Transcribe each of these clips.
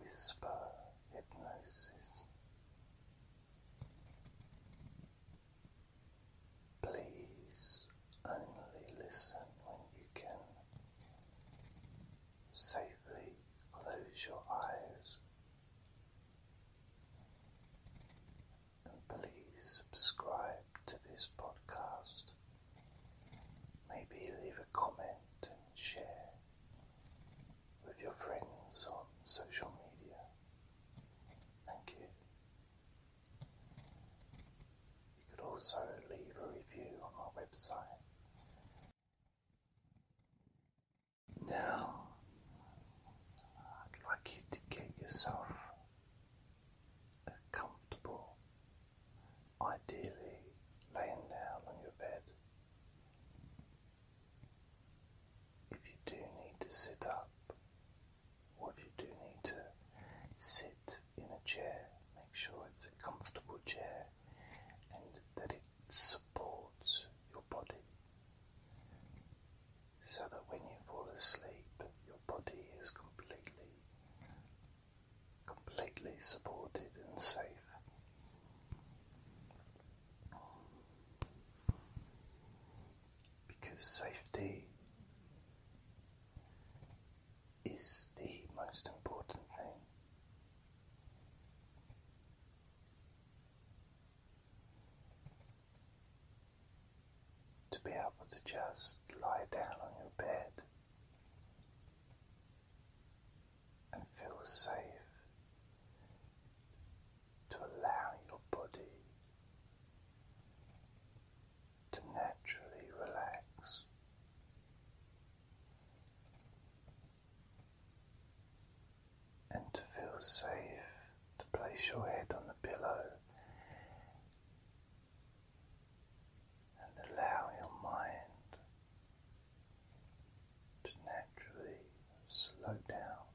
whisper hypnosis. Please only listen when you can. Safely close your eyes and please subscribe to this podcast. Maybe leave a comment and share with your friends on social media. Thank you. You could also leave a review on our website. Now, I'd like you to get yourself a comfortable, ideally laying down on your bed, if you do need to sit up, or if you do need to sit in a chair, make sure it's a comfortable chair and that it supports your body so that when you fall asleep, your body is completely, completely supported and safe because safety is the most important thing. To be able to just lie down on your bed and feel safe to allow your body to naturally relax. And to feel safe to place your head on the pillow and allow your mind to naturally slow down.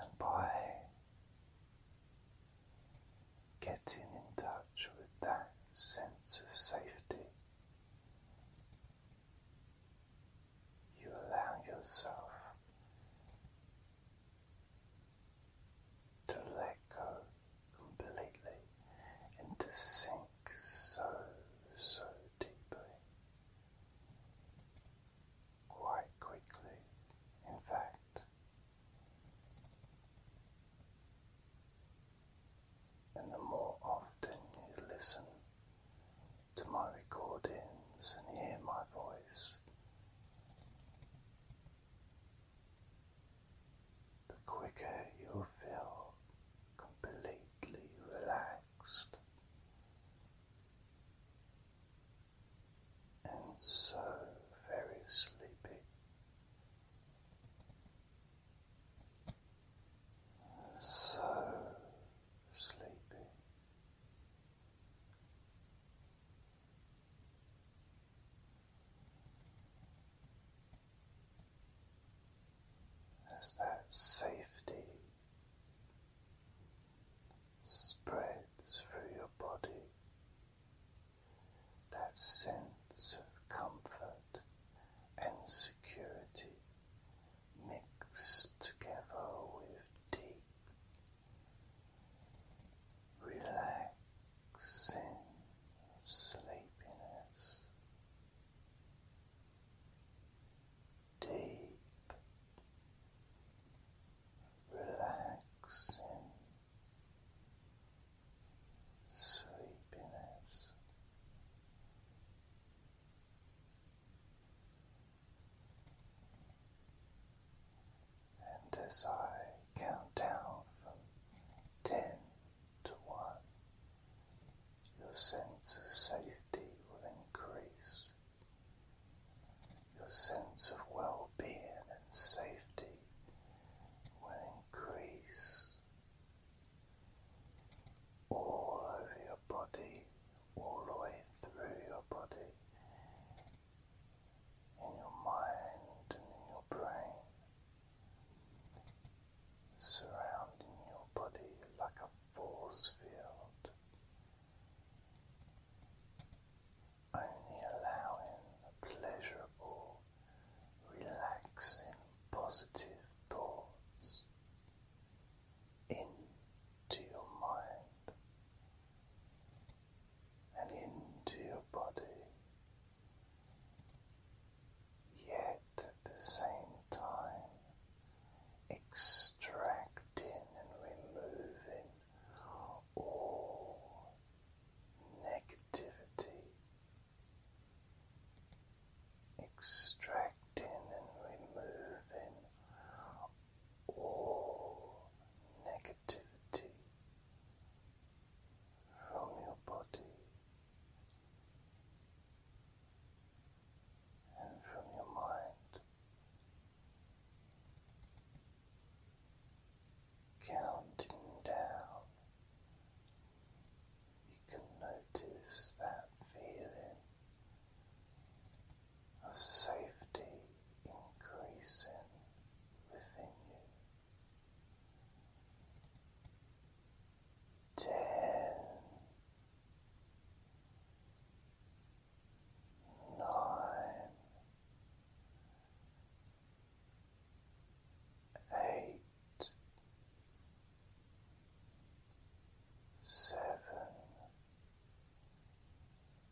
And by getting in touch with that sense of safety, you allow yourself to let go completely and to sink so, so deeply. Quite quickly, in fact. And the more often you listen to my recordings and hear my voice, the quicker you feel completely relaxed and so very sleepy. So sleepy. As that safety spreads through your body, that sense of comfort and security mixed together with deep relaxing sleepiness, deep relaxing sleepiness. And as I count down from ten to one, your sense of safety will increase. Your sense of well being and safety will increase all over your body, all the way through your body, in your mind and in your brain, surrounding your body like a force field, only allowing pleasurable, relaxing, positive thoughts into your mind and into your body, yet at the same time extracting and removing all negativity. Extracting and removing all negativity from your body and from your mind. Counting down, you can notice that feeling of safety increasing within you. Ten, nine, eight, seven,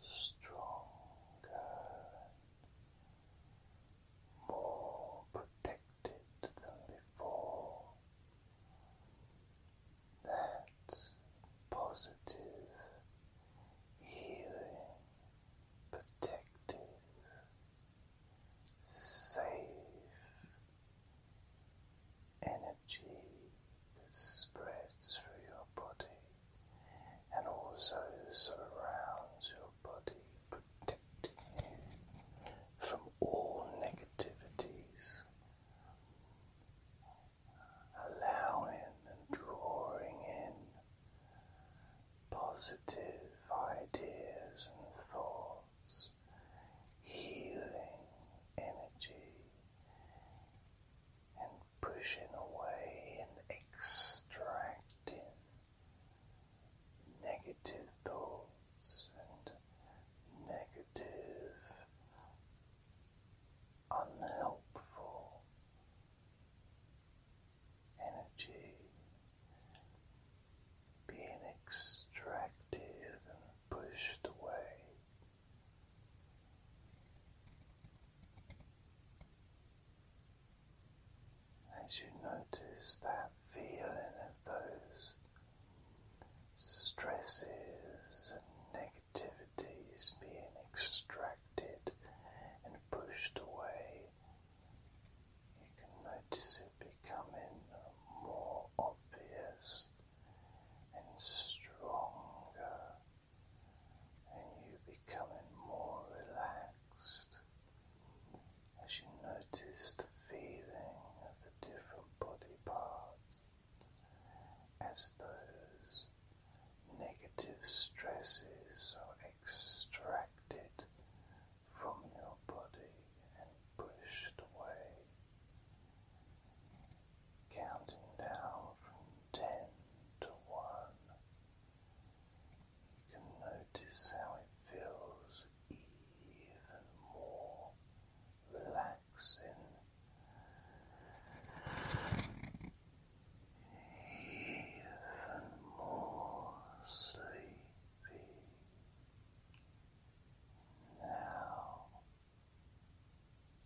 stronger more protected than before. That positive, healing, protective, safe energy that spreads through your body and also surrounds your body, protecting you from all negativities, allowing and drawing in positive ideas and thoughts, healing energy pushing away and extracting negative thoughts and negative, unhelpful energy being extracted and pushed away. As you notice that feeling of those stresses and negativities being extracted and pushed away, you can notice it becoming more obvious and stronger and you're becoming more relaxed as you notice the feeling of the different body parts as those negative stresses are extracted from your body and pushed away. Counting down from ten to one. You can notice how it feels even more relaxing. Even more sleepy. Now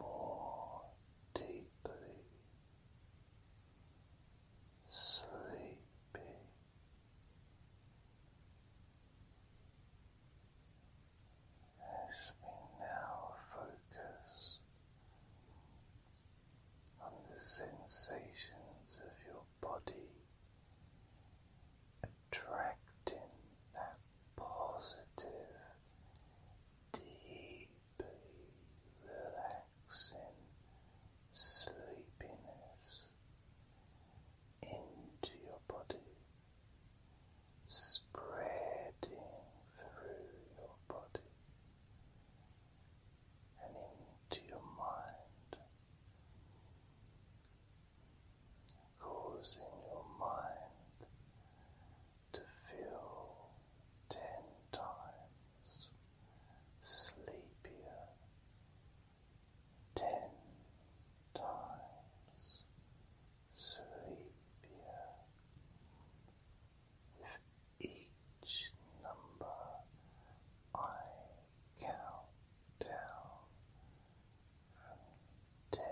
more deeply sleeping. As we now focus on the sensations of your body attracting that positive, deeply relaxing sleepiness into your body, spreading through your body and into your mind in your mind to feel ten times sleepier, ten times sleepier with each number I count down ten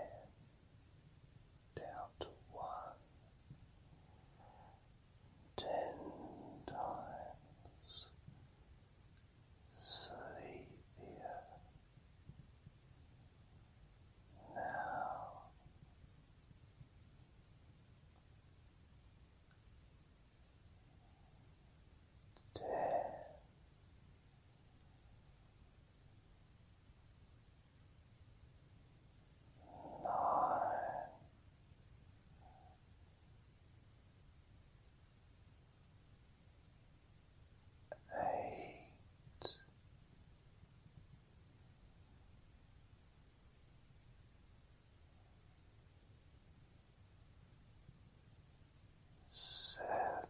down to one ten times sleepier now ten nine. Eight, seven,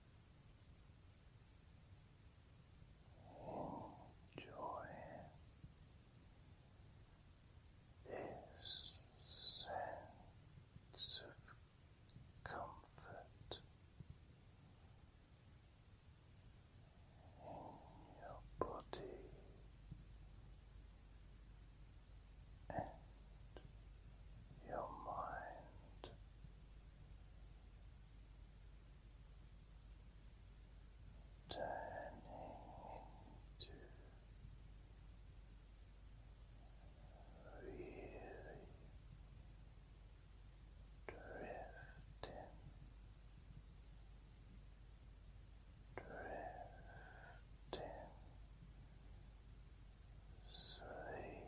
Enjoy this sense of comfort in your body and your mind turning into really drifting, drifting sleep.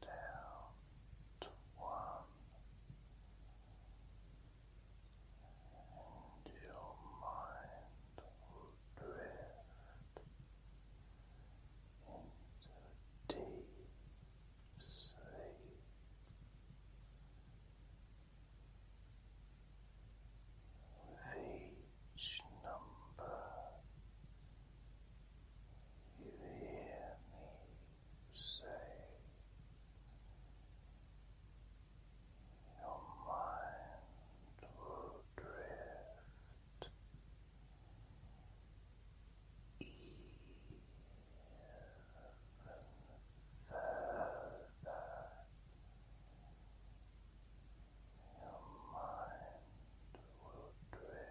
down to one, and your mind will drift into deep sleep. With number you hear me say, Your mind will drift even further. Your mind will drift.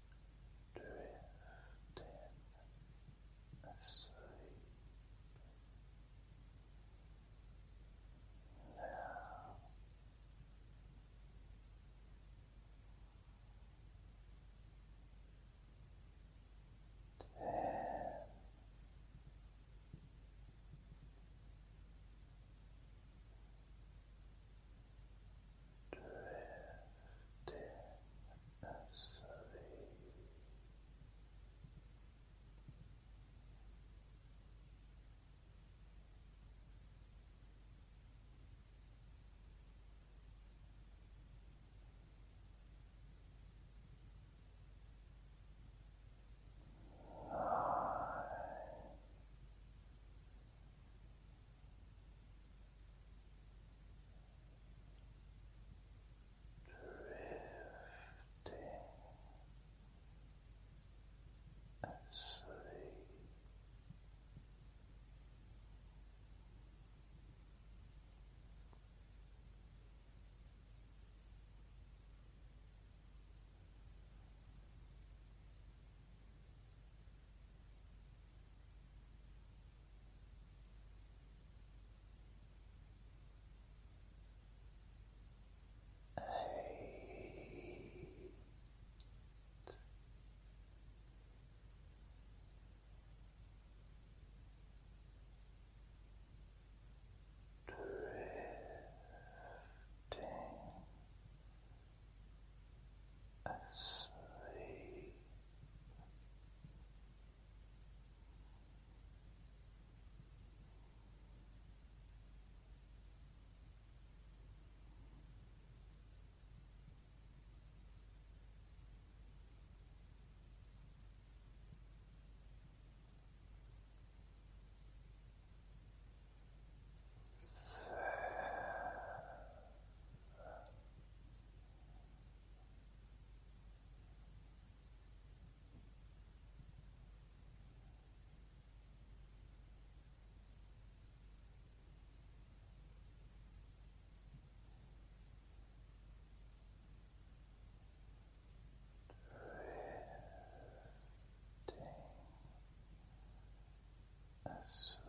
drifting asleep. Now ten nine drifting asleep. Nine drifting asleep. Eight. Drifting asleep. Seven. Drifting asleep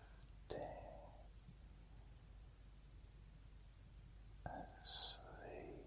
and sleep.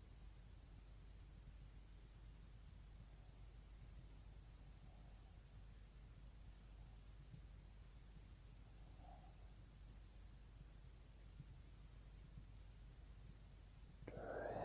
Drifting asleep.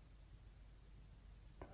drifting asleep.